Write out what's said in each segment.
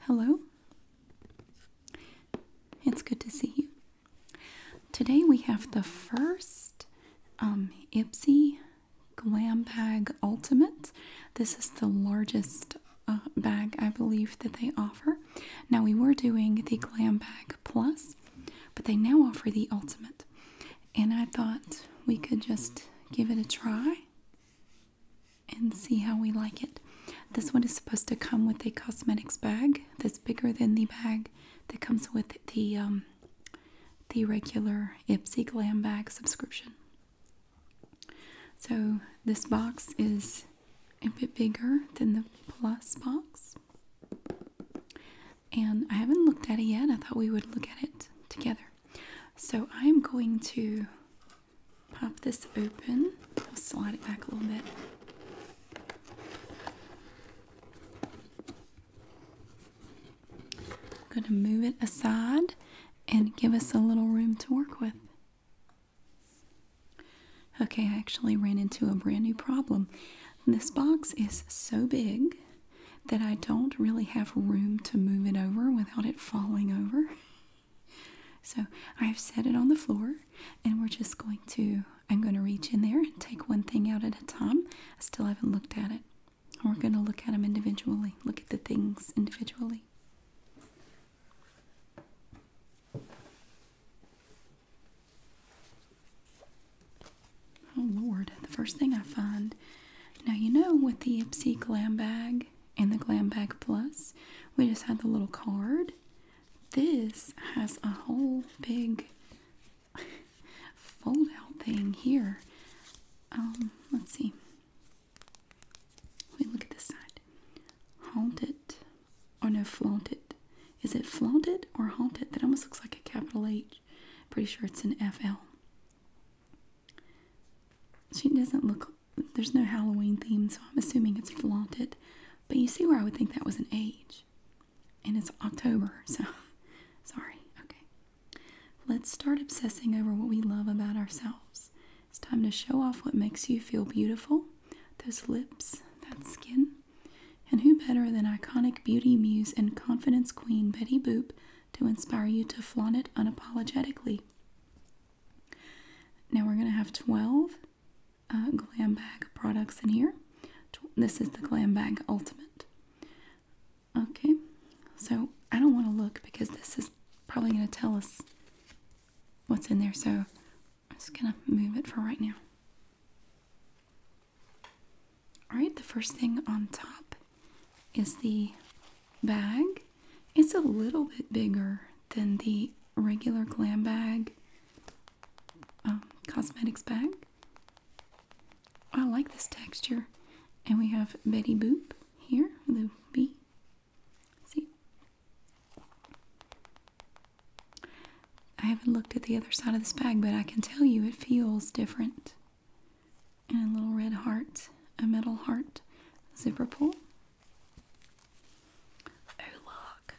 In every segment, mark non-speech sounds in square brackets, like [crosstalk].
Hello. It's good to see you. Today we have the first um, Ipsy Glam Bag Ultimate. This is the largest uh, bag I believe that they offer. Now we were doing the Glam Bag Plus, but they now offer the Ultimate. And I thought we could just give it a try and see how we like it. This one is supposed to come with a cosmetics bag that's bigger than the bag that comes with the um, the regular Ipsy Glam Bag subscription. So this box is a bit bigger than the Plus box. And I haven't looked at it yet. I thought we would look at it together. So I'm going to pop this open. I'll slide it back a little bit. I'm going to move it aside and give us a little room to work with. Okay, I actually ran into a brand new problem. This box is so big that I don't really have room to move it over without it falling over. [laughs] So I've set it on the floor and we're just going to, I'm going to reach in there and take one thing out at a time. I still haven't looked at it. We're going to look at them individually, look at the things individually. Oh Lord, the first thing I find. Now, you know with the Ipsy Glam Bag, and the Glam Bag Plus. We just had the little card. This has a whole big fold out thing here. Um, let's see. We look at this side. Haunted. Or oh, no, flaunted. Is it flaunted or haunted? That almost looks like a capital H. Pretty sure it's an FL. She doesn't look there's no Halloween theme, so I'm assuming it's flaunted. But you see where I would think that was an age. And it's October, so [laughs] sorry. Okay. Let's start obsessing over what we love about ourselves. It's time to show off what makes you feel beautiful those lips, that skin. And who better than iconic beauty muse and confidence queen Betty Boop to inspire you to flaunt it unapologetically? Now we're going to have 12 uh, Glam Bag products in here. This is the Glam Bag Ultimate. Okay, so I don't want to look because this is probably going to tell us what's in there, so I'm just going to move it for right now. Alright, the first thing on top is the bag. It's a little bit bigger than the regular glam bag, um, cosmetics bag. I like this texture. And we have Betty Boop here, the bee. See? I haven't looked at the other side of this bag, but I can tell you it feels different and a little red heart, a metal heart zipper pull. Oh, look.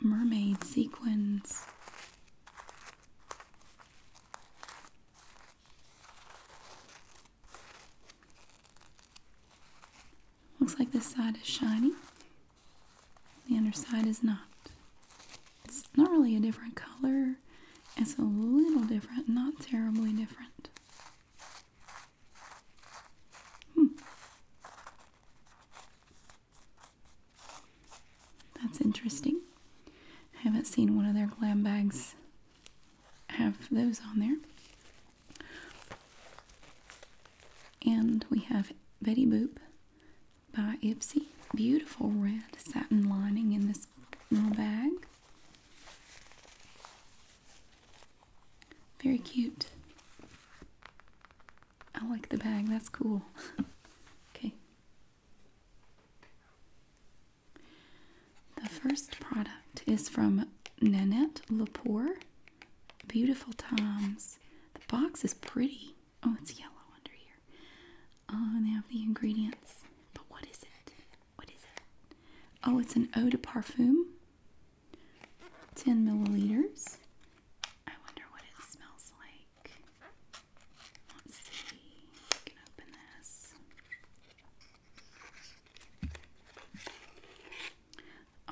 Mermaid sequins. Looks like this side is shiny. The underside is not. It's not really a different color. It's a little different, not terribly different. Hmm. That's interesting. I haven't seen one of their glam bags have those on there. And we have Betty Boop by Ipsy. Beautiful red satin lining in this Little bag. Very cute. I like the bag, that's cool. [laughs] okay. The first product is from Nanette Lepore. Beautiful Toms. The box is pretty. Oh, it's yellow under here. Oh, and they have the ingredients. But what is it? What is it? Oh, it's an eau de parfum. 10 milliliters. I wonder what it smells like. Let's see. can open this.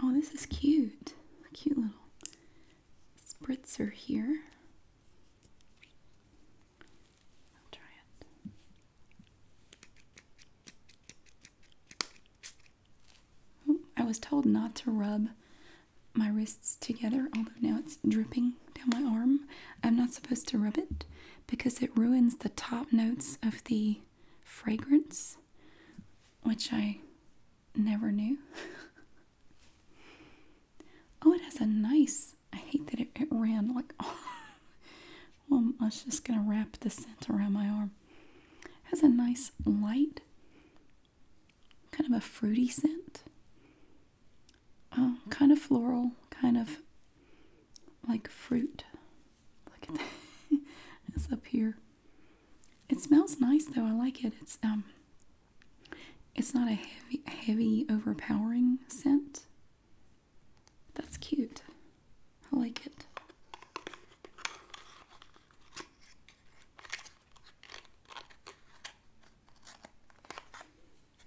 Oh, this is cute. cute little spritzer here. I'll try it. Oh, I was told not to rub my wrists together, although now it's dripping down my arm. I'm not supposed to rub it because it ruins the top notes of the fragrance, which I never knew. [laughs] oh, it has a nice I hate that it, it ran like. Oh. [laughs] I was just gonna wrap the scent around my arm. It has a nice light, kind of a fruity scent. Um, kind of floral, kind of like fruit. Look at that. [laughs] it's up here. It smells nice though. I like it. It's um it's not a heavy heavy overpowering scent. That's cute. I like it.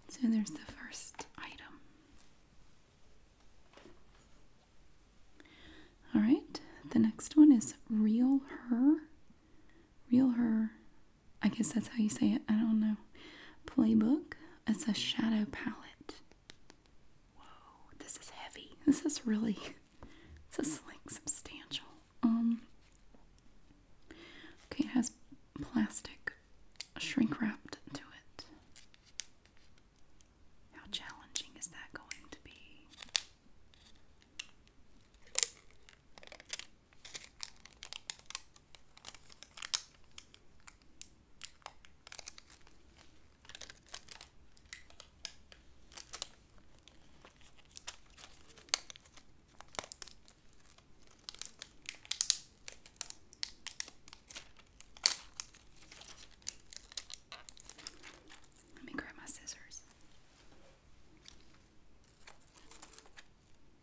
So there's the first item. All right, the next one is Real Her. Real Her. I guess that's how you say it. I don't know playbook. It's a shadow palette. Whoa, this is heavy. This is really [laughs] this is like substantial. Um Okay, it has plastic shrink wrapped to it. How challenging is that going to be? Let me grab my scissors.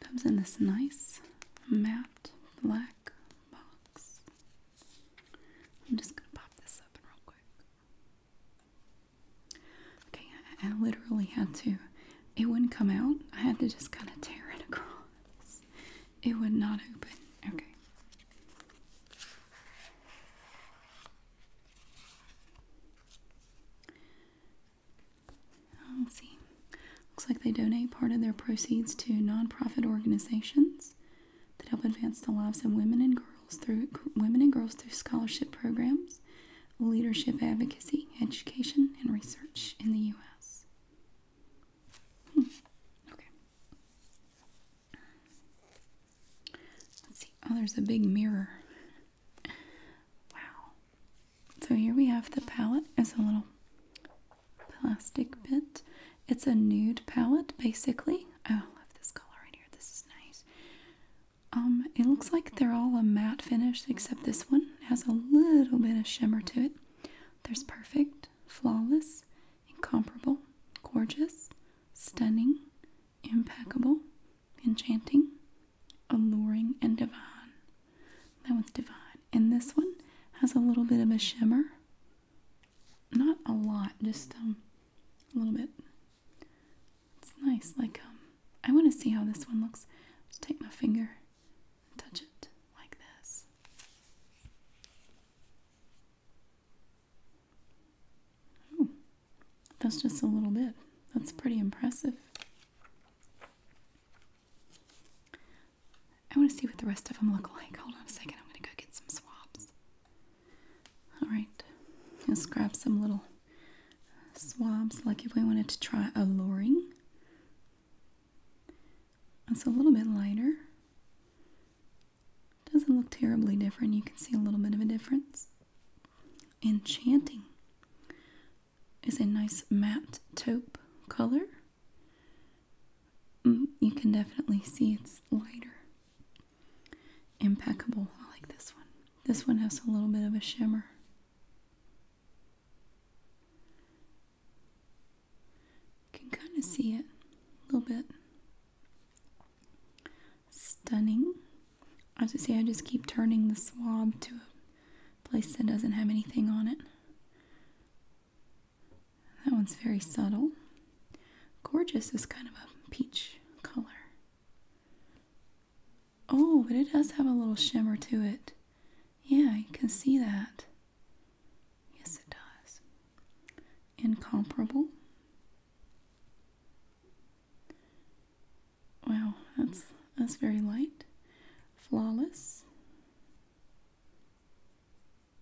Comes in this nice matte black box. I'm just gonna pop this up real quick. Okay, I literally had to, it wouldn't come out. I had to just kind of tear it across. It would not open. Okay. Let's oh, see. Looks like they donate part of their proceeds to nonprofit organizations that help advance the lives of women and girls through women and girls through scholarship programs, leadership advocacy, education, and research in the U.S. Hmm. Okay. Let's see. Oh, there's a big mirror. Wow. So here we have the palette as a little plastic bit. It's a nude palette basically. Oh, I love this color right here. This is nice. Um, it looks like they're all a matte finish except this one has a little bit of shimmer to it. There's perfect, flawless, incomparable, gorgeous, stunning, impeccable, enchanting, alluring, and divine. That one's divine. And this one has a little bit of a shimmer. Not a lot, just um, a little bit. It's nice. Like, um, I want to see how this one looks. Just take my finger and touch it like this. that's just a little bit. That's pretty impressive. I want to see what the rest of them look like. Hold on a second. I'm going to go get some swabs. All right. Let's grab some little swabs like if we wanted to try alluring. It's a little bit lighter. Doesn't look terribly different. You can see a little bit of a difference. Enchanting is a nice matte taupe color. Mm, you can definitely see it's lighter. Impeccable. I like this one. This one has a little bit of a shimmer. You can kind of see it a little bit. Stunning. As I say, I just keep turning the swab to a place that doesn't have anything on it. That one's very subtle. Gorgeous is kind of a peach color. Oh, but it does have a little shimmer to it. Yeah, you can see that. Yes, it does. Incomparable. Wow, that's that's very light. Flawless.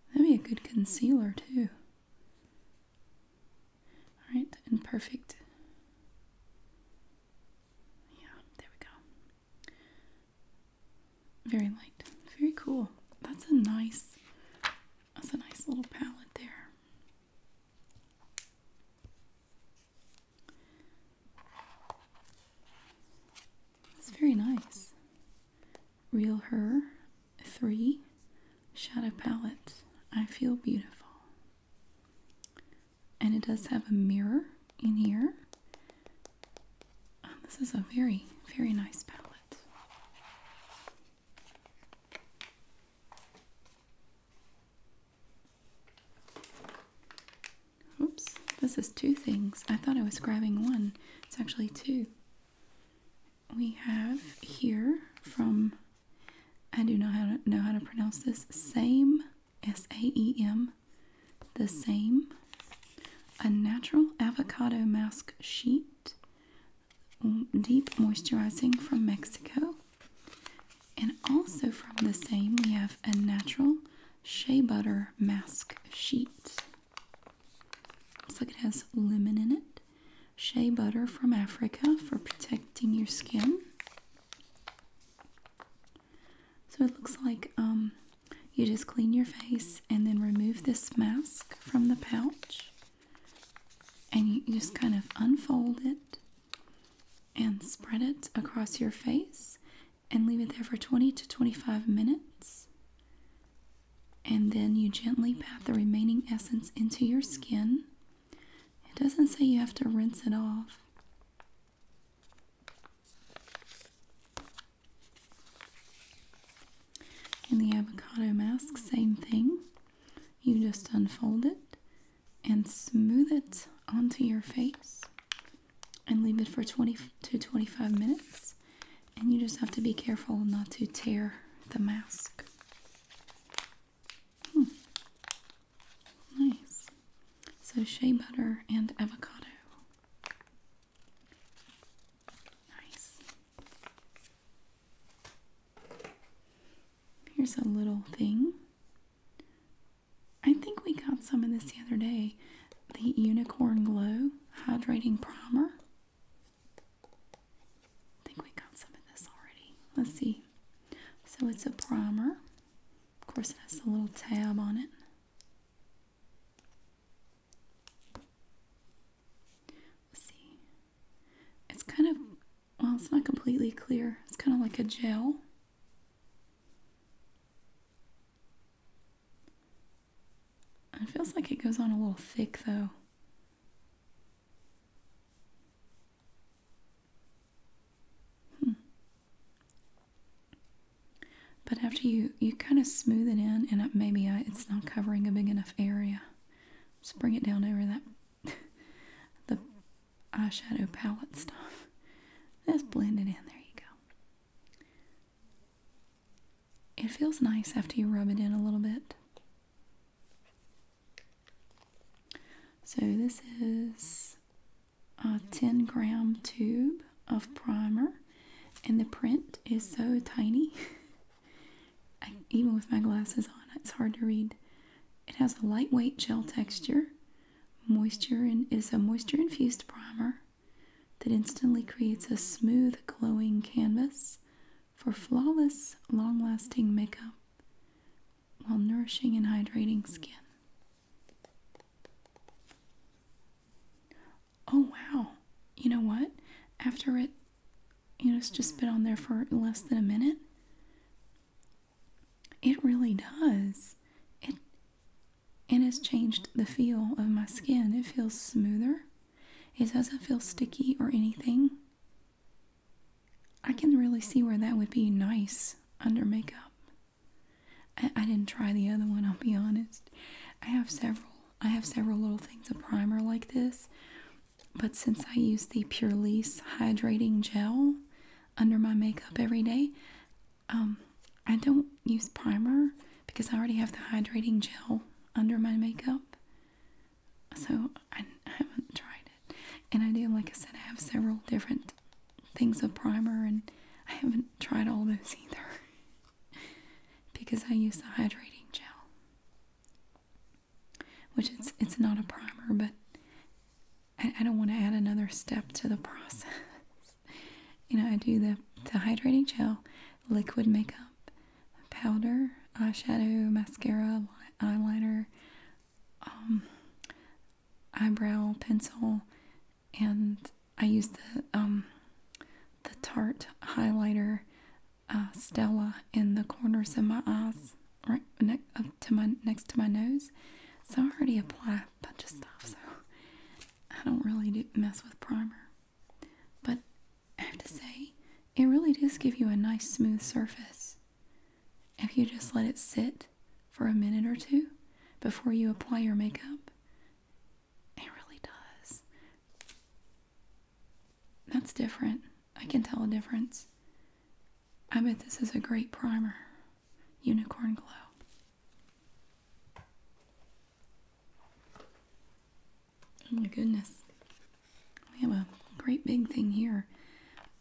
That'd be a good concealer too. Alright, and perfect. Yeah, there we go. Very light. Very cool. That's a nice that's a nice little palette there. It's very nice. Real Her 3 Shadow Palette. I feel beautiful. And it does have a mirror in here. Um, this is a very, very nice palette. Oops, this is two things. I thought I was grabbing one. It's actually two. We have here from, I do not know how to pronounce this, same, S A E M, the same, a natural avocado mask sheet, deep moisturizing from Mexico. And also from the same, we have a natural shea butter mask sheet. Looks like it has lemon in it. Shea butter from Africa for protecting your skin. So it looks like um, you just clean your face and then remove this mask from the pouch. And you just kind of unfold it and spread it across your face and leave it there for 20 to 25 minutes. And then you gently pat the remaining essence into your skin. It doesn't say you have to rinse it off. In the avocado mask, same thing. You just unfold it and smooth it onto your face and leave it for 20 to 25 minutes. And you just have to be careful not to tear the mask. Hmm. Nice. So shea butter and avocado. Nice. Here's a little thing. I think we got some of this the other day the Unicorn Glow Hydrating Primer. I think we got some of this already. Let's see. So it's a primer. Of course, it has a little tab on it. Let's see. It's kind of, well, it's not completely clear. It's kind of like a gel. It feels like it goes on a little thick though. Hmm. But after you, you kind of smooth it in, and maybe uh, it's not covering a big enough area. Just bring it down over that [laughs] the eyeshadow palette stuff. Let's blend it in. There you go. It feels nice after you rub it in a little bit. So, this is a 10 gram tube of primer, and the print is so tiny. [laughs] even with my glasses on, it's hard to read. It has a lightweight gel texture, moisture, and is a moisture infused primer that instantly creates a smooth, glowing canvas for flawless, long lasting makeup while nourishing and hydrating skin. Oh, wow. You know what? After it, you know, it's just been on there for less than a minute. It really does. It it has changed the feel of my skin. It feels smoother. It doesn't feel sticky or anything. I can really see where that would be nice under makeup. I, didn't try the other one, I'll be honest. I have several. I have several little things of primer like this, but since I use the Pure Lease Hydrating Gel under my makeup every day, um, I don't use primer because I already have the hydrating gel under my makeup. So I haven't tried it. And I do, like I said, I have several different things of primer and I haven't tried all those either. [laughs] because I use the hydrating gel. Which it's it's not a primer, but I don't want to add another step to the process. [laughs] You know, I do the, the hydrating gel, liquid makeup, powder, eyeshadow, mascara, eyeliner, um, eyebrow pencil, and I use the um, the Tarte highlighter uh, Stella in the corners of my eyes, right up to my next to my nose. So I already apply a bunch of stuff, so I don't really do mess with primer. But I have to say, it really does give you a nice smooth surface. If you just let it sit for a minute or two before you apply your makeup, it really does. That's different. I can tell a difference. I bet this is a great primer. Unicorn Glow. Oh my goodness. We have a great big thing here.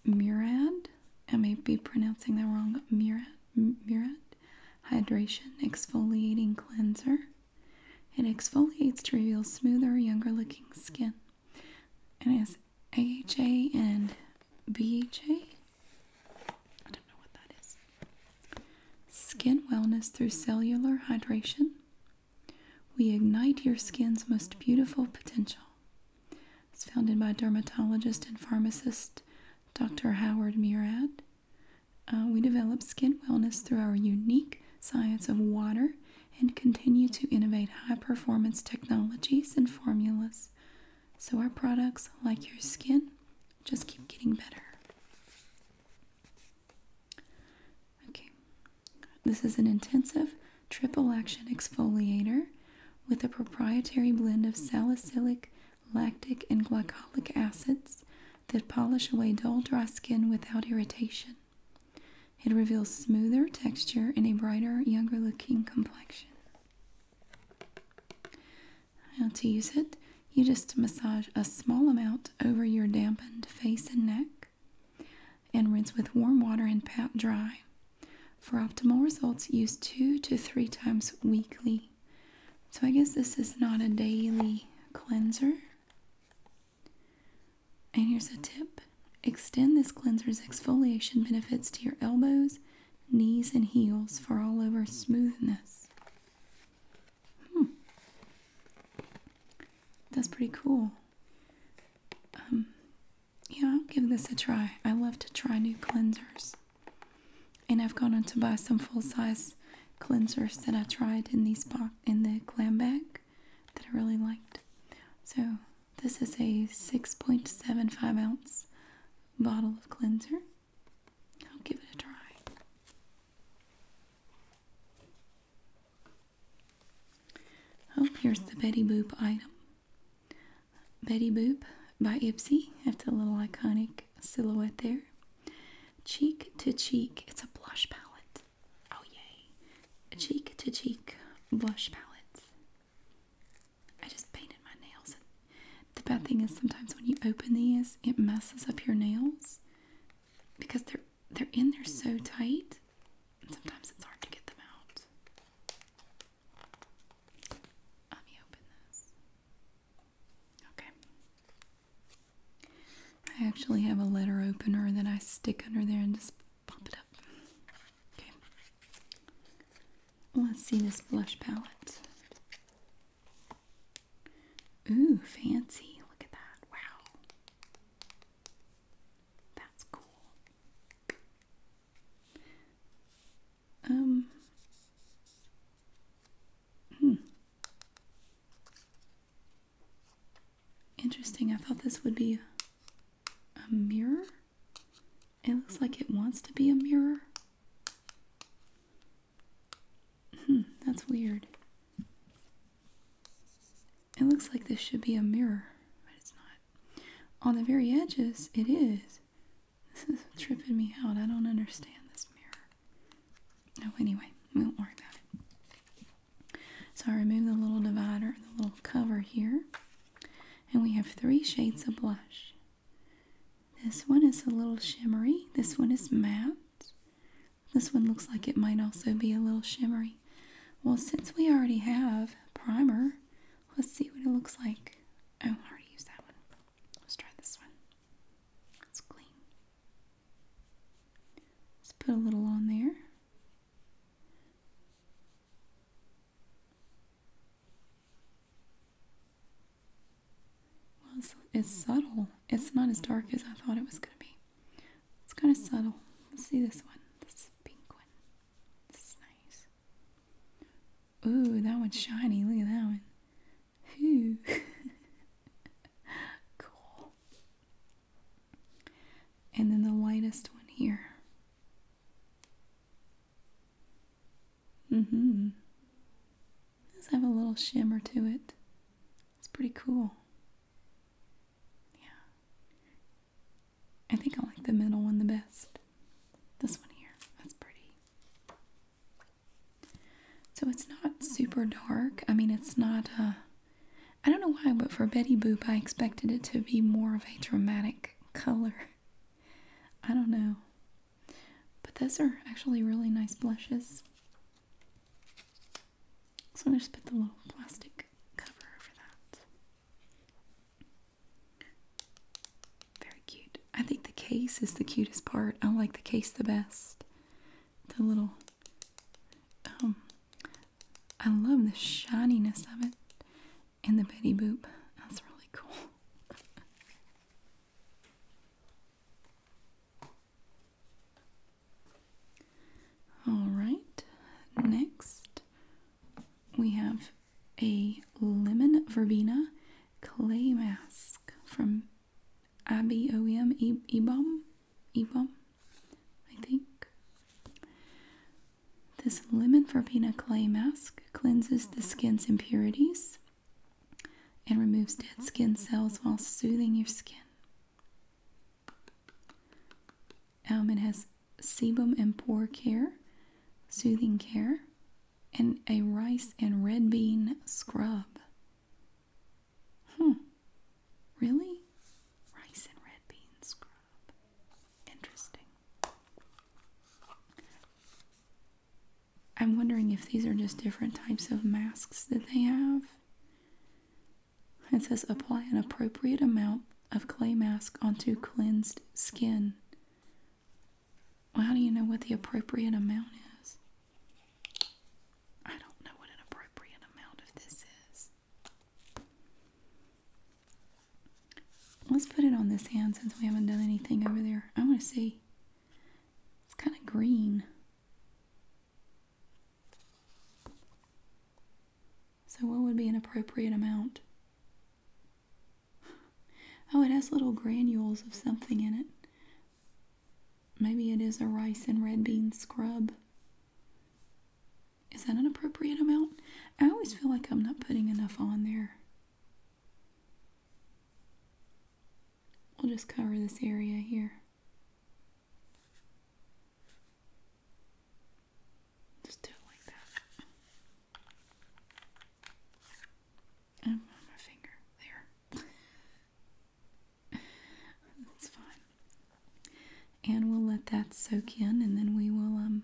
Murad, I may be pronouncing that wrong. Murad, Murad, hydration exfoliating cleanser. It exfoliates to reveal smoother, younger looking skin. And it has AHA and BHA. I don't know what that is. Skin Wellness Through Cellular Hydration. We ignite your skin's most beautiful potential. It's founded by dermatologist and pharmacist Dr. Howard Murad. Uh, we develop skin wellness through our unique science of water and continue to innovate high performance technologies and formulas so our products, like your skin, just keep getting better. Okay, this is an intensive triple action exfoliator with a proprietary blend of salicylic, lactic, and glycolic acids that polish away dull, dry skin without irritation. It reveals smoother texture and a brighter, younger looking complexion. How to use it. You just massage a small amount over your dampened face and neck and rinse with warm water and pat dry. For optimal results, use two to three times weekly. So I guess this is not a daily cleanser. And here's a tip extend this cleanser's exfoliation benefits to your elbows, knees, and heels for all over smoothness. Hmm. That's pretty cool. Um, yeah, I'll give this a try. I love to try new cleansers. And I've gone on to buy some full-size cleansers that I tried in these in the glam bag that I really liked. So this is a 6.75 ounce bottle of cleanser. I'll give it a try. Oh, here's the Betty Boop item. Betty Boop by Ipsy. That's a little iconic silhouette there. Cheek to Cheek. It's a blush palette. Oh, yay. cheek to Cheek blush palettes. I just painted my nails. The bad thing is sometimes when you open these, it messes up your nails because they're they're in there so tight. Sometimes it's hard to get them out. Let me open this. Okay. I actually have a letter opener that I stick under there and just pop it up. Okay. Let's see this blush palette. Ooh, fancy. Look at that. Wow. That's cool. Um hmm. Interesting. I thought this would be a mirror. It looks like it wants to be a mirror. Hmm, that's weird. It looks like this should be a mirror, but it's not. On the very edges, it is. This is tripping me out. I don't understand this mirror. Oh, anyway, we won't worry about it. So I removed the little divider, the little cover here. And we have three shades of blush. This one is a little shimmery. This one is matte. This one looks like it might also be a little shimmery. Well, since we already have primer, let's see what it looks like. Oh, I already used that one. Let's try this one. It's clean. Let's put a little on there. it's subtle it's not as dark as I thought it was going to be. It's kind of subtle. Let's see this one. This pink one. This is nice. Ooh, that one's shiny. Look at that one. Ooh. [laughs] cool. And then the lightest one here. Mm-hmm. It does have a little shimmer to it. It's pretty cool. Yeah. I think I like the middle one the best. This one here. That's pretty. So it's not super dark. I mean, it's not, uh, I don't know why, but for Betty Boop, I expected it to be more of a dramatic color. [laughs] I don't know. But those are actually really nice blushes. So I'm going to put the little plastic cover over that. Very cute. I think the case is the cutest part. I like the case the best. The little, um, I love the shininess of it and the Betty Boop. That's really cool. [laughs] All right, next we have a Lemon Verbena clay mask from Abby OM Ebom. Ebom, I think. This Lemon Verbena clay mask cleanses the skin's impurities and removes dead skin cells while soothing your skin. Um, it has sebum and pore care, soothing care, and a rice and red bean scrub. Hmm. Really? Rice and red bean scrub. Interesting. I'm wondering if these are just different types of masks that they have. It says apply an appropriate amount of clay mask onto cleansed skin. Well, how do you know what the appropriate amount is? I don't know what an appropriate amount of this is. Let's put it on this hand since we haven't done anything over there. I want to see. It's kind of green. So, what would be an appropriate amount? Oh, it has little granules of something in it. Maybe it is a rice and red bean scrub. Is that an appropriate amount? I always feel like I'm not putting enough on there. We'll just cover this area here. Just do it like that. And um, on my finger. There. [laughs] That's fine. And we'll let that soak in and then we will um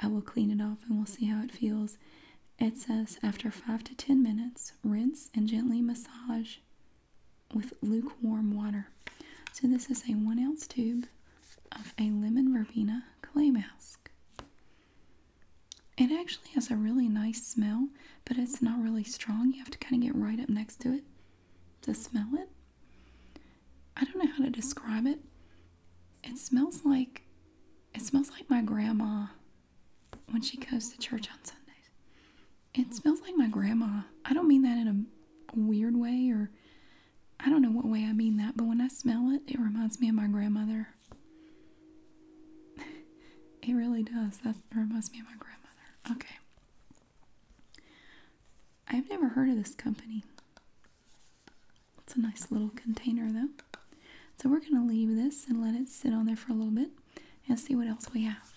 I will clean it off and we'll see how it feels. It says after 5 to 10 minutes, rinse and gently massage with lukewarm water. So, this is a one ounce tube of a lemon verbena clay mask. It actually has a really nice smell, but it's not really strong. You have to kind of get right up next to it to smell it. I don't know how to describe it. It smells like it smells like my grandma when she goes to church on Sundays. It smells like my grandma. I don't mean that in a weird way or I don't know what way I mean that, but when I smell it, it reminds me of my grandmother. [laughs] it really does. That reminds me of my grandmother. Okay. I've never heard of this company. It's a nice little container though. So we're going to leave this and let it sit on there for a little bit and see what else we have.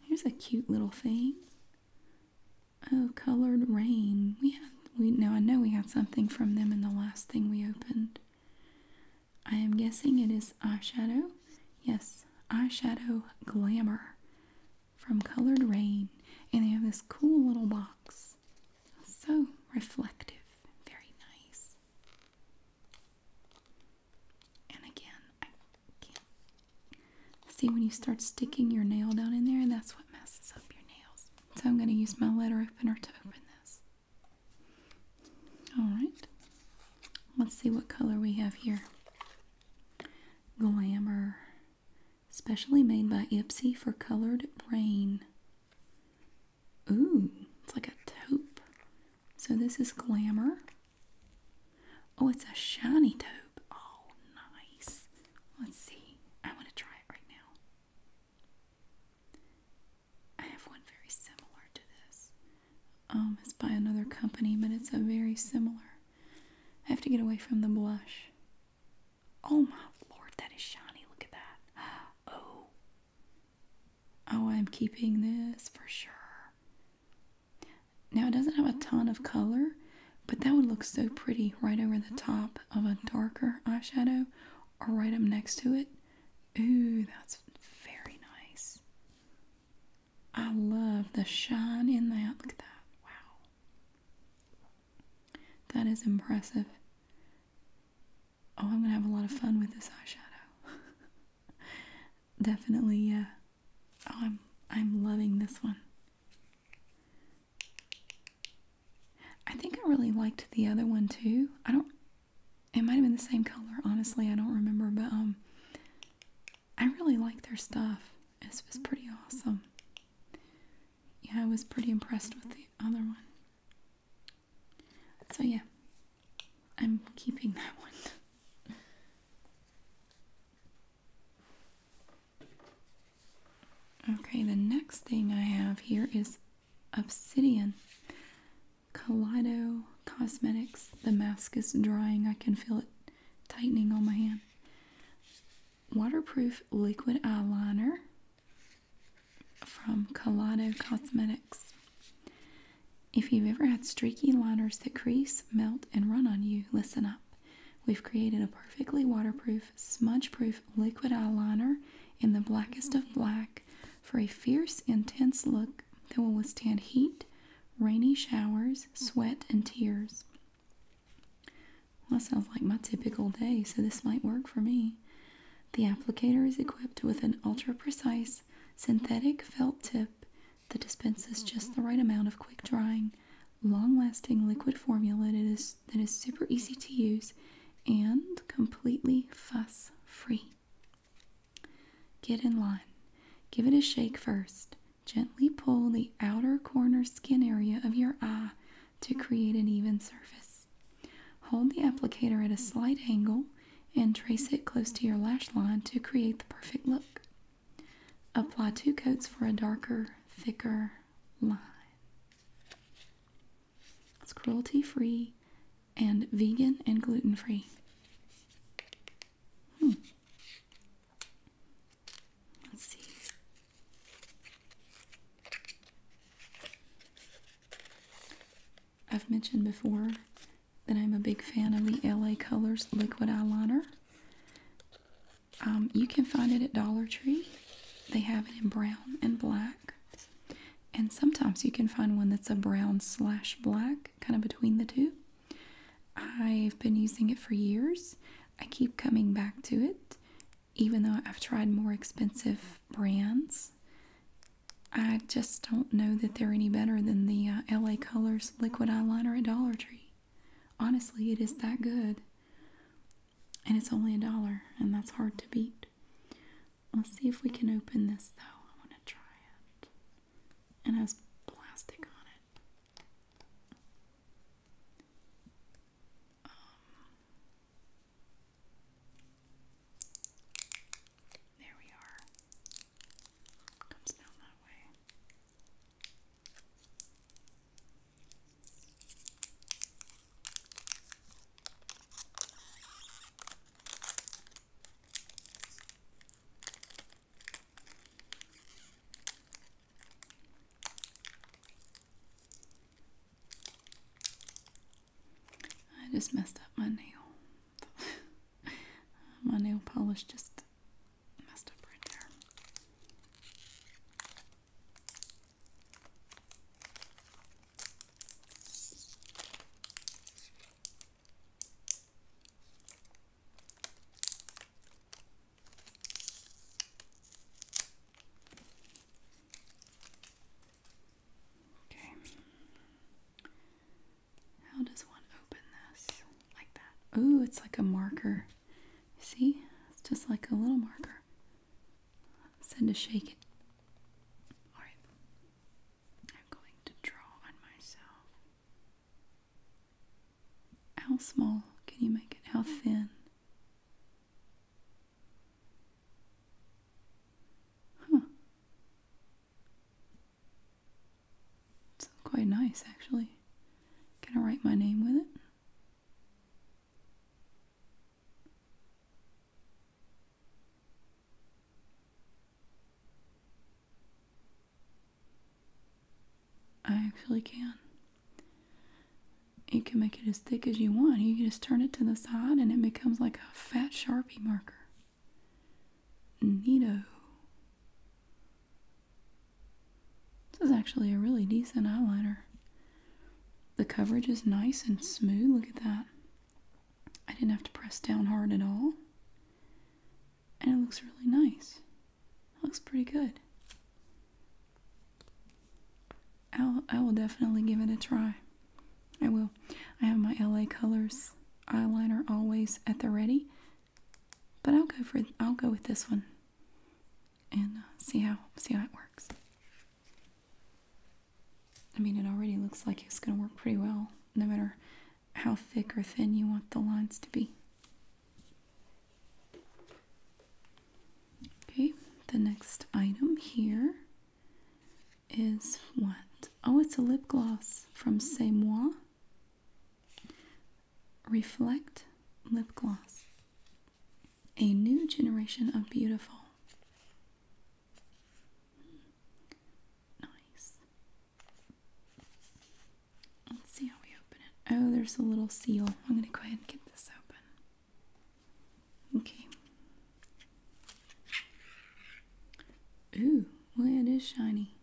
Here's a cute little thing. Oh, colored rain. We had we now I know we had something from them in the last thing we opened. I am guessing it is eyeshadow. Yes, eyeshadow glamour from Colored Rain. And they have this cool little box. So reflective. Very nice. And again, I can't. See, when you start sticking your nail down in there, that's what messes up your nails. So I'm going to use my letter opener to open this. Alright. Let's see what color we have here. Glamour. Specially made by Ipsy for colored brain. Ooh, it's like a taupe. So this is Glamour. Oh, it's a shiny taupe. Oh, nice. Let's see. I want to try it right now. I have one very similar to this. Um, it's by another company, but it's a very similar. I have to get away from the blush. Oh my lord, that is shiny. Look at that. [gasps] Oh, Oh, I'm keeping this for sure. Now, it doesn't have a ton of color, but that would look so pretty right over the top of a darker eyeshadow or right up next to it. Ooh, that's very nice. I love the shine in that. Look at that. Wow. That is impressive oh, I'm gonna have a lot of fun with this eyeshadow. [laughs] Definitely, yeah. Oh, I'm I'm loving this one. I think I really liked the other one too. I don't it might have been the same color, honestly, I don't remember, but um I really like their stuff. This was pretty awesome. Yeah, I was pretty impressed with the other one. So, yeah, I'm keeping that one. Okay, the next thing I have here is Obsidian Kaleido Cosmetics. The mask is drying, I can feel it tightening on my hand. Waterproof liquid eyeliner from Colado Cosmetics. If you've ever had streaky liners that crease, melt, and run on you, listen up. We've created a perfectly waterproof, smudge proof liquid eyeliner in the blackest of black for a fierce, intense look that will withstand heat, rainy showers, sweat, and tears. Well, that sounds like my typical day, so this might work for me. The applicator is equipped with an ultra precise synthetic felt tip that dispenses just mm-hmm. the right amount of quick drying, long lasting liquid formula that is, that is super easy to use and completely fuss free. Get in line. Give it a shake first. Gently pull the outer corner skin area of your eye to create an even surface. Hold the applicator at a slight angle and trace it close to your lash line to create the perfect look. Apply two coats for a darker, thicker line. It's cruelty free and vegan and gluten free. Hmm. Let's see. I've mentioned before that I'm a big fan of the LA Colors liquid eyeliner. Um, you can find it at Dollar Tree. They have it in brown and black. And sometimes you can find one that's a brown slash black, kind of between the two. I've been using it for years. I keep coming back to it, even though I've tried more expensive brands. I just don't know that they're any better than the uh, LA Colors liquid eyeliner at Dollar Tree. Honestly, it is that good. And it's only a dollar, and that's hard to beat. Let's see if we can open this though. I want to try it. It has plastic on it. Um, there we are. Comes down that way. I just messed up my nail. [laughs] my nail polish just messed up right there. Okay. How does one open this? Like that. Oh, it's like a marker. See? It's just like a little marker. Send a shake it. Alright. I'm going to draw on myself. How small can you make it? How thin? Huh. It's quite nice actually. Can I write my name with it? I actually can. You can make it as thick as you want. You can just turn it to the side and it becomes like a fat Sharpie marker. Neato. This is actually a really decent eyeliner. The coverage is nice and smooth. Look at that. I didn't have to press down hard at all. And it looks really nice. looks pretty good. i I will definitely give it a try. I will. I have my LA Colors eyeliner always at the ready, but I'll go for I'll go with this one and uh, see how see how it works. I mean, it already looks like it's going to work pretty well, no matter how thick or thin you want the lines to be. Okay, the next item here is what? Oh, it's a lip gloss from C'est Moi. Reflect Lip Gloss. A new generation of beautiful. Nice. Let's see how we open it. Oh, there's a little seal. I'm going to go ahead and get this open. Okay. Ooh, well it is shiny.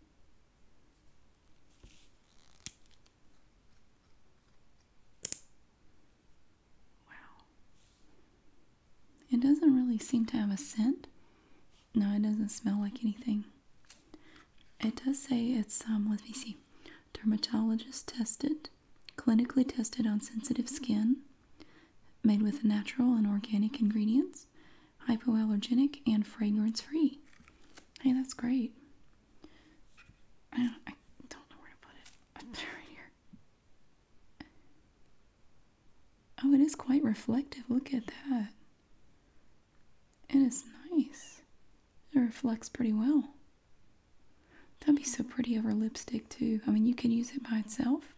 Wow. It doesn't really seem to have a scent. No, it doesn't smell like anything. It does say it's, um, let me see, dermatologist tested, clinically tested on sensitive skin, made with natural and organic ingredients, hypoallergenic, and fragrance free. Hey, that's great. I don't, know where to put it. [laughs] Oh, it is quite reflective. Look at that. It is nice. It reflects pretty well. That'd be so pretty over lipstick, too. I mean, you could use it by itself,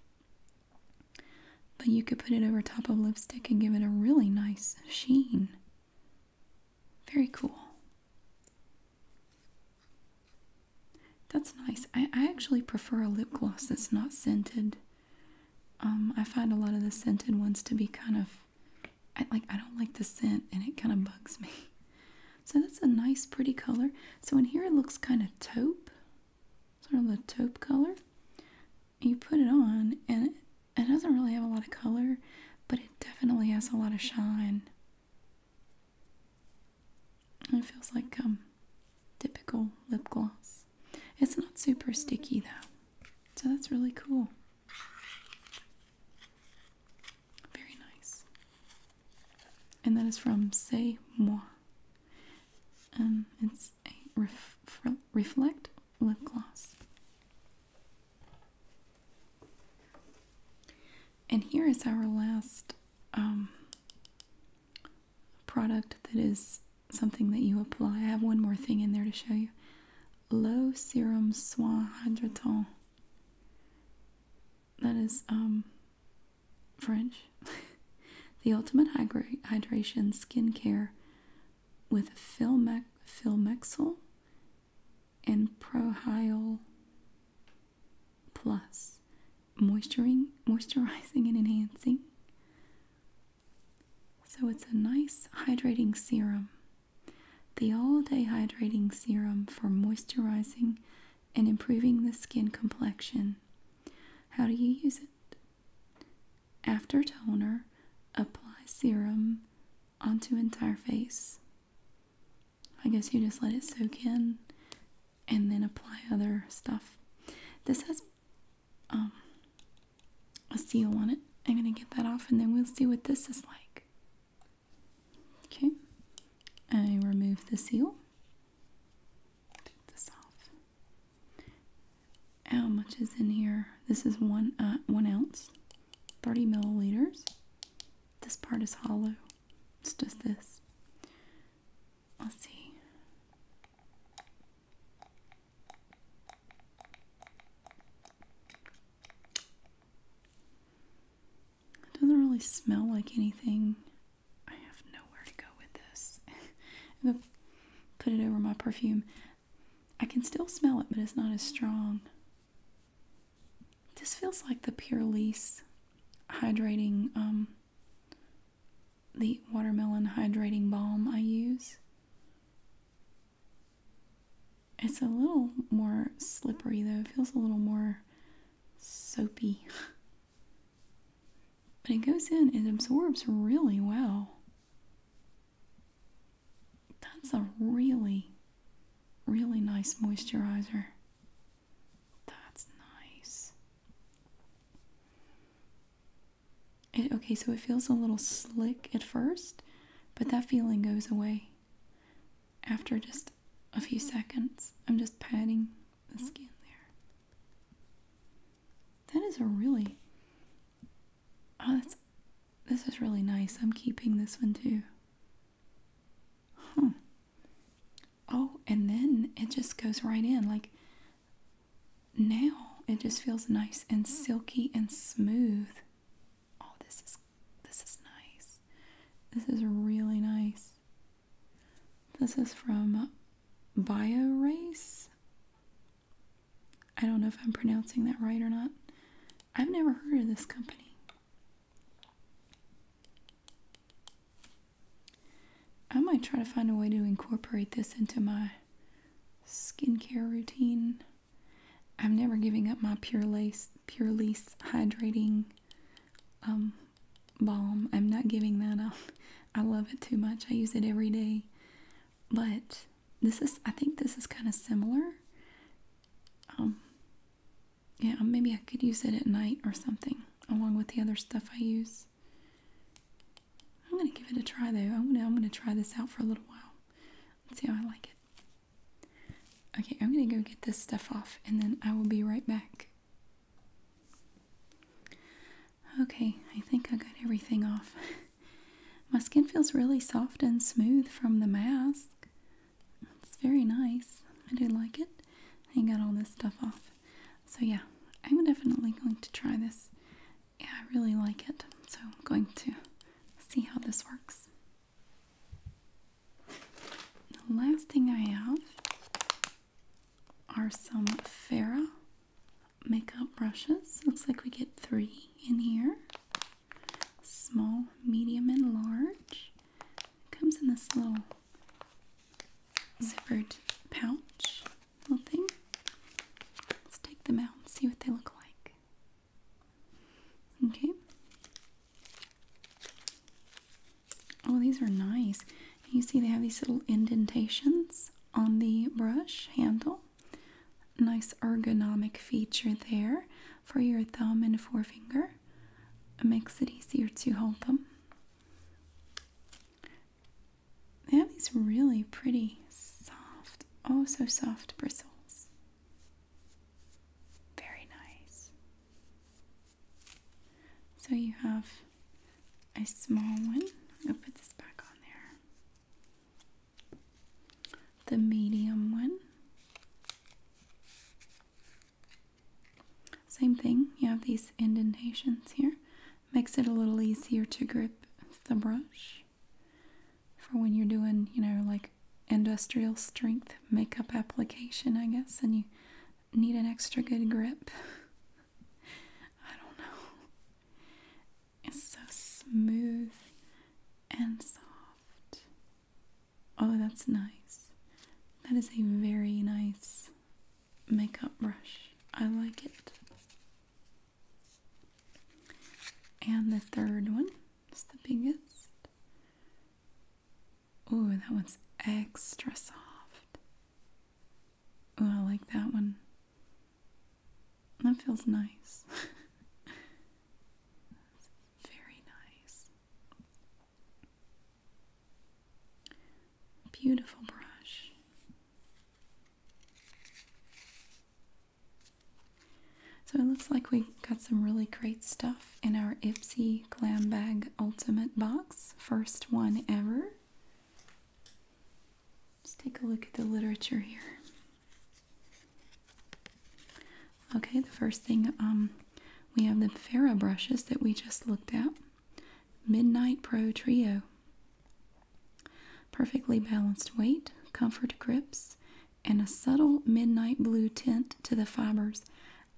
but you could put it over top of lipstick and give it a really nice sheen. Very cool. That's nice. I, actually prefer a lip gloss that's not scented. Um, I find a lot of the scented ones to be kind of I, like I don't like the scent and it kind of bugs me. So that's a nice pretty color. So in here it looks kind of taupe, sort of a taupe color you put it on and it doesn't really have a lot of color, but it definitely has a lot of shine. It feels like um, typical lip gloss. It's not super sticky though. So that's really cool. Very nice. And that is from Say Moi. Um, it's a reflect lip gloss. And here is our last um, product that is something that you apply. I have one more thing in there to show you. Low Serum Soin Hydratant. That is um, French. [laughs] the Ultimate Hydration Skincare with Philme Philmexil and Prohyal Plus, moisturizing, moisturizing and enhancing. So it's a nice hydrating serum. The all-day hydrating serum for moisturizing and improving the skin complexion. How do you use it? After toner, apply serum onto entire face. I guess you just let it soak in and then apply other stuff. This has um, a seal on it. I'm going to get that off and then we'll see what this is like. Okay, I remove the seal. Take this off. How much is in here? This is one uh, one ounce, 30 milliliters. This part is hollow. It's just this. I'll see. It doesn't really smell like anything. I have nowhere to go with this. [laughs] put it over my perfume. I can still smell it, but it's not as strong. This feels like the Pure Lease hydrating, um, the watermelon hydrating balm I use. It's a little more slippery though. It feels a little more soapy. [laughs] but it goes in, it absorbs really well. That's a really, really nice moisturizer. That's nice. okay, so it feels a little slick at first, but that feeling goes away after just a few seconds. I'm just patting the skin there. That is a really oh that's this is really nice. I'm keeping this one too. Huh. Oh, and then it just goes right in. Like now it just feels nice and silky and smooth. Oh, this is this is nice. This is really nice. This is from Bio Race. I don't know if I'm pronouncing that right or not. I've never heard of this company. I might try to find a way to incorporate this into my skincare routine. I'm never giving up my Pure Lace, Pure Lace hydrating um, balm. I'm not giving that up. [laughs] I love it too much. I use it every day. But this is I think this is kind of similar. Um, yeah, maybe I could use it at night or something along with the other stuff I use. I'm gonna give it a try though. I'm gonna I'm gonna try this out for a little while Let's see how I like it. Okay, I'm gonna go get this stuff off and then I will be right back. Okay, I think I got everything off. [laughs] My skin feels really soft and smooth from the mask. It's very nice. I do like it. I got all this stuff off. So yeah, I'm definitely going to try this. Yeah, I really like it. So I'm going to see how this works. The last thing I have are some Farrah makeup brushes. Looks like we get three in here small, medium, and large. comes in this little zippered pouch little thing. Let's take them out and see what they look like. Okay. Oh, these are nice. You see, they have these little indentations on the brush handle. Nice ergonomic feature there for your thumb and forefinger. It makes it easier to hold them. They have these really pretty, soft, oh so soft bristles. Very nice. So you have a small one. I'll put this back on there the medium one. Same thing, you have these indentations here. Makes it a little easier to grip the brush for when you're doing, you know, like industrial strength makeup application, I guess, and you need an extra good grip. [laughs] I don't know. It's so smooth and soft. Oh, that's nice. That is a very nice makeup brush. I like it. And the third one is the biggest. Oh, that one's extra soft. Oh, I like that one. That feels nice. [laughs] very nice. Beautiful brush. So it looks like we got some really great stuff in our Ipsy Glam Bag Ultimate box. First one ever. Let's take a look at the literature here. Okay, the first thing um, we have the Farah brushes that we just looked at. Midnight Pro Trio. Perfectly balanced weight, comfort grips, and a subtle midnight blue tint to the fibers.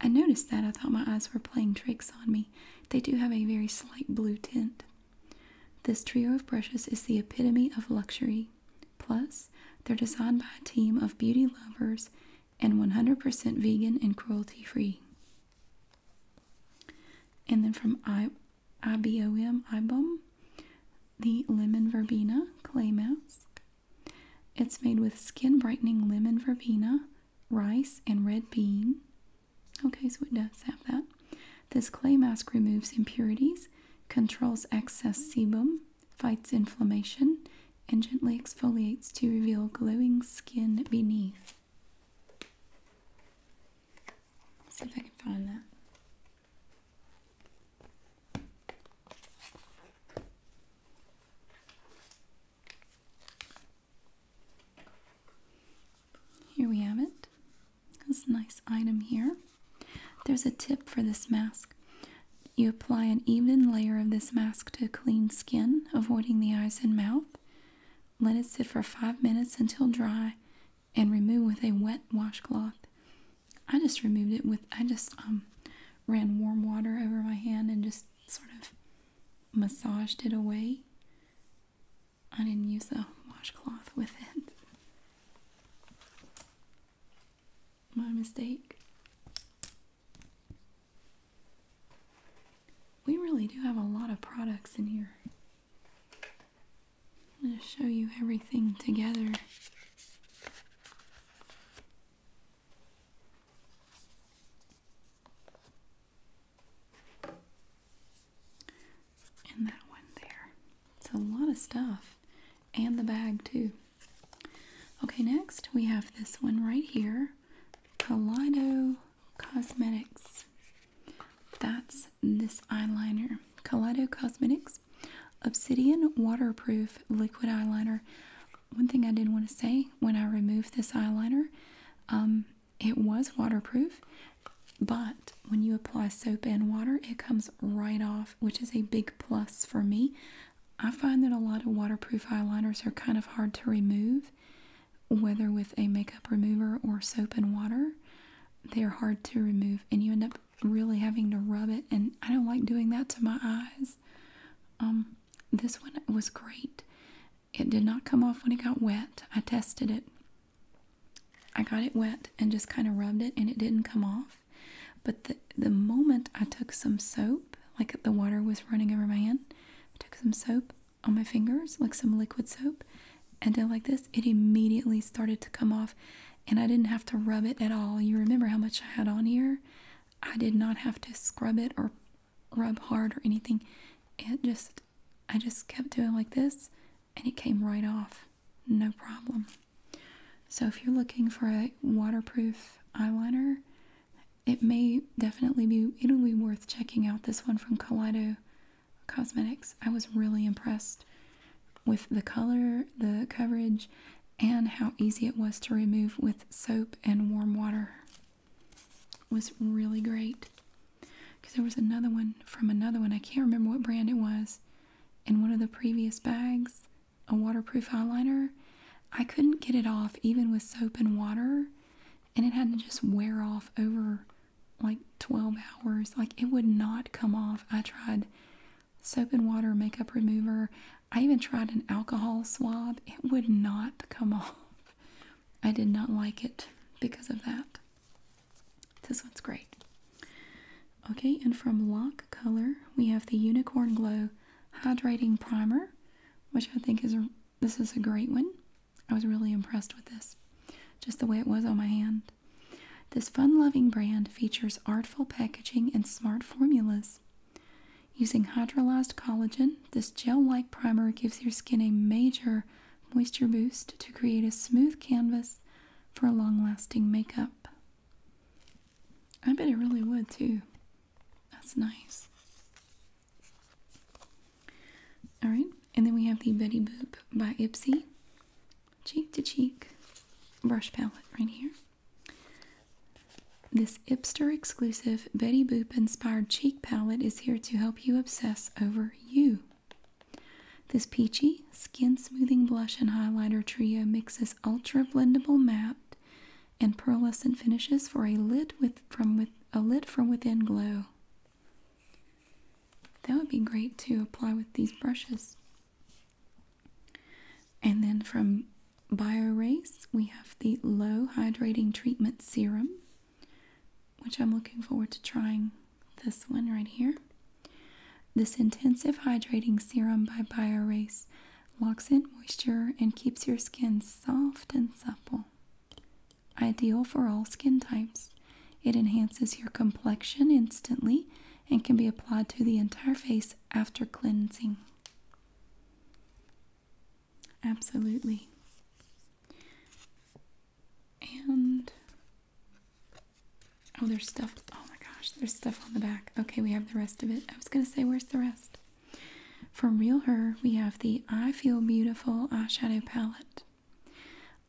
I noticed that. I thought my eyes were playing tricks on me. They do have a very slight blue tint. This trio of brushes is the epitome of luxury. Plus, they're designed by a team of beauty lovers and 100% vegan and cruelty free. And then from I- IBOM, IBOM, the Lemon Verbena Clay Mask. It's made with skin brightening lemon verbena, rice, and red bean. Okay, so it does have that. This clay mask removes impurities, controls excess sebum, fights inflammation, and gently exfoliates to reveal glowing skin beneath. see if I can find that. Here we have it. This nice item here. There's a tip for this mask. You apply an even layer of this mask to clean skin, avoiding the eyes and mouth. Let it sit for five minutes until dry and remove with a wet washcloth. I just removed it with, I just um, ran warm water over my hand and just sort of massaged it away. I didn't use a washcloth with it. My mistake. We really do have a lot of products in here. I'm going to show you everything together and that one there. It's a lot of stuff and the bag too. Okay, next we have this one right here, Kaleido Cosmetics. That's this eyeliner, Kaleido Cosmetics Obsidian Waterproof Liquid Eyeliner. One thing I did want to say when I removed this eyeliner, um, it was waterproof but when you apply soap and water, it comes right off, which is a big plus for me. I find that a lot of waterproof eyeliners are kind of hard to remove, whether with a makeup remover or soap and water. They're hard to remove, and you end up really having to rub it, and I don't like doing that to my eyes. Um, this one was great. It did not come off when it got wet. I tested it I got it wet and just kind of rubbed it and it didn't come off. But the, the moment I took some soap, like the water was running over my hand, I took some soap on my fingers, like some liquid soap, and did like this, it immediately started to come off and I didn't have to rub it at all. You remember how much I had on here? I did not have to scrub it or rub hard or anything. It just, I just kept doing like this and it came right off. No problem. So if you're looking for a waterproof eyeliner, it may definitely be it'll be worth checking out this one from Kaleido Cosmetics. I was really impressed with the color, the coverage, and how easy it was to remove with soap and warm water. was really great. Because there was another one from another one. I can't remember what brand it was in one of the previous bags, a waterproof eyeliner. I couldn't get it off even with soap and water, and it had to just wear off over like 12 hours. Like it would not come off. I tried soap and water, makeup remover. I even tried an alcohol swab. It would not come [laughs] off. I did not like it because of that. This one's great. Okay, and from Lock Color, we have the Unicorn Glow Hydrating Primer, which I think is this is a great one. I was really impressed with this, just the way it was on my hand. This fun-loving brand features artful packaging and smart formulas. Using hydrolyzed collagen, this gel-like primer gives your skin a major moisture boost to create a smooth canvas for long-lasting makeup. I bet it really would too. That's nice. Alright, and then we have the Betty Boop by Ipsy Cheek to Cheek brush palette right here. This Ipster exclusive Betty Boop inspired cheek palette is here to help you obsess over you. This peachy Skin Smoothing Blush and Highlighter Trio mixes ultra blendable matte and pearlescent finishes for a lid with from with a lid from within glow. That would be great to apply with these brushes. And then from BioRace, we have the Low Hydrating Treatment Serum, which I'm looking forward to trying this one right here. This intensive hydrating serum by BioRace locks in moisture and keeps your skin soft and supple. Ideal for all skin types, it enhances your complexion instantly and can be applied to the entire face after cleansing. Absolutely. And Oh, there's stuff. Oh my gosh, there's stuff on the back. Okay, we have the rest of it. I was going to say, where's the rest? From Real Her, we have the I Feel Beautiful eyeshadow palette.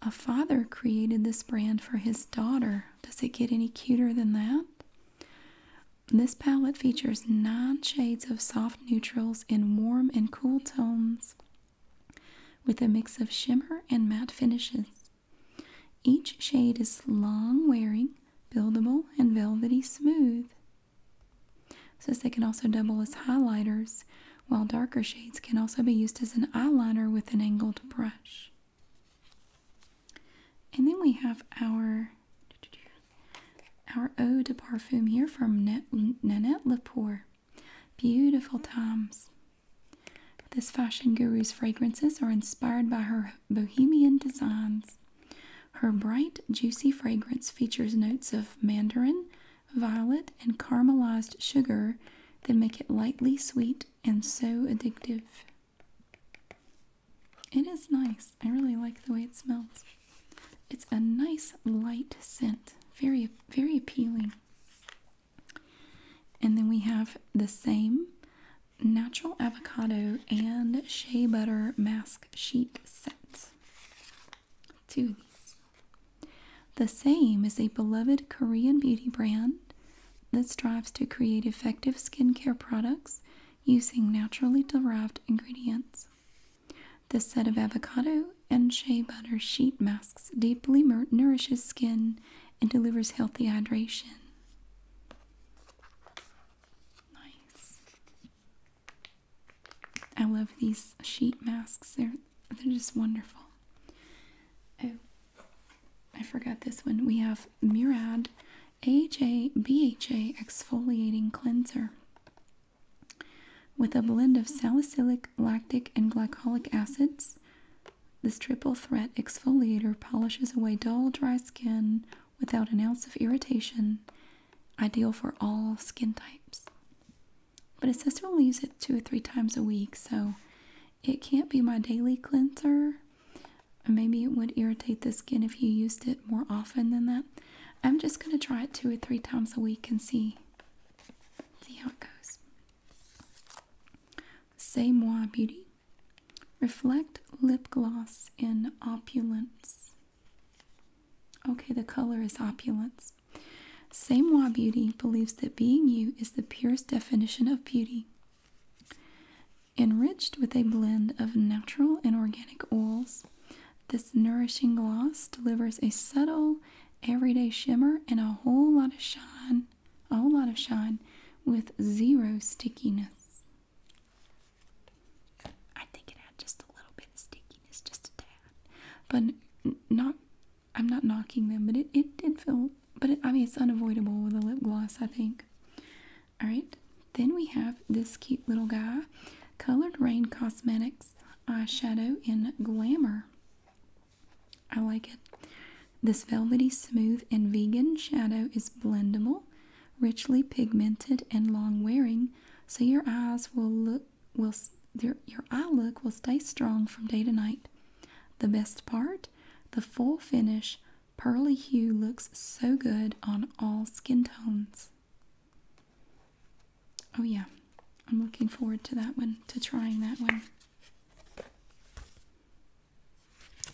A father created this brand for his daughter. Does it get any cuter than that? This palette features nine shades of soft neutrals in warm and cool tones with a mix of shimmer and matte finishes. Each shade is long wearing, buildable, and velvety smooth. Since they can also double as highlighters, while darker shades can also be used as an eyeliner with an angled brush. And then we have our our eau de parfum here from Nanette Lepore. Beautiful times. This fashion guru's fragrances are inspired by her bohemian designs. Her bright, juicy fragrance features notes of mandarin, violet, and caramelized sugar that make it lightly sweet and so addictive. It is nice. I really like the way it smells. It's a nice light scent, very very appealing. And then we have the same natural avocado and shea butter mask sheet set. Two of these. The same is a beloved Korean beauty brand that strives to create effective skincare products using naturally derived ingredients. This set of avocado and shea butter sheet masks deeply nourishes skin and delivers healthy hydration. Nice. I love these sheet masks. They're they're just wonderful. Oh, I forgot this one. We have Murad A J B H A exfoliating cleanser with a blend of salicylic, lactic, and glycolic acids this triple threat exfoliator polishes away dull, dry skin without an ounce of irritation, ideal for all skin types. But it says to only use it two or three times a week, so it can't be my daily cleanser. Maybe it would irritate the skin if you used it more often than that. I'm just going to try it two or three times a week and see, see how it goes. C'est Moi Beauty. Reflect lip gloss in opulence. Okay, the color is opulence. Samoa Beauty believes that being you is the purest definition of beauty. Enriched with a blend of natural and organic oils, this nourishing gloss delivers a subtle, everyday shimmer and a whole lot of shine a whole lot of shine with zero stickiness. I think it had just a little bit of stickiness, just a tad. But not, I'm not knocking them, but it, it did feel, but I mean, it's unavoidable with a lip gloss, I think. Alright, then we have this cute little guy, Colored Rain Cosmetics eyeshadow in Glamour. I like it. This velvety, smooth, and vegan shadow is blendable, richly pigmented, and long-wearing, so your eyes will look will your, your eye look will stay strong from day to night. The best part, the full finish pearly hue looks so good on all skin tones. Oh yeah, I'm looking forward to that one, to trying that one.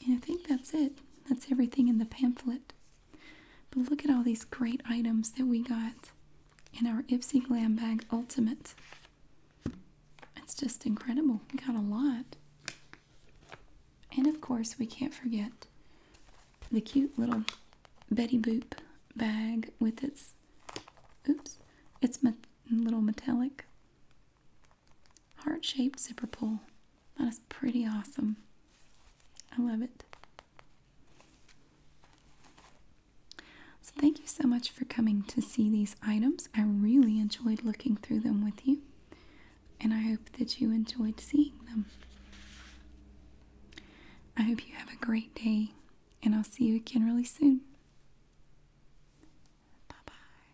And I think that's it. That's everything in the pamphlet. But look at all these great items that we got in our Ipsy Glam Bag Ultimate. It's just incredible. We got a lot. And of course, we can't forget the cute little Betty Boop bag with its, oops, its me little metallic heart-shaped zipper pull. That is pretty awesome. I love it. So thank you so much for coming to see these items. I really enjoyed looking through them with you. And I hope that you enjoyed seeing them. I hope you have a great day, and I'll see you again really soon. Bye bye.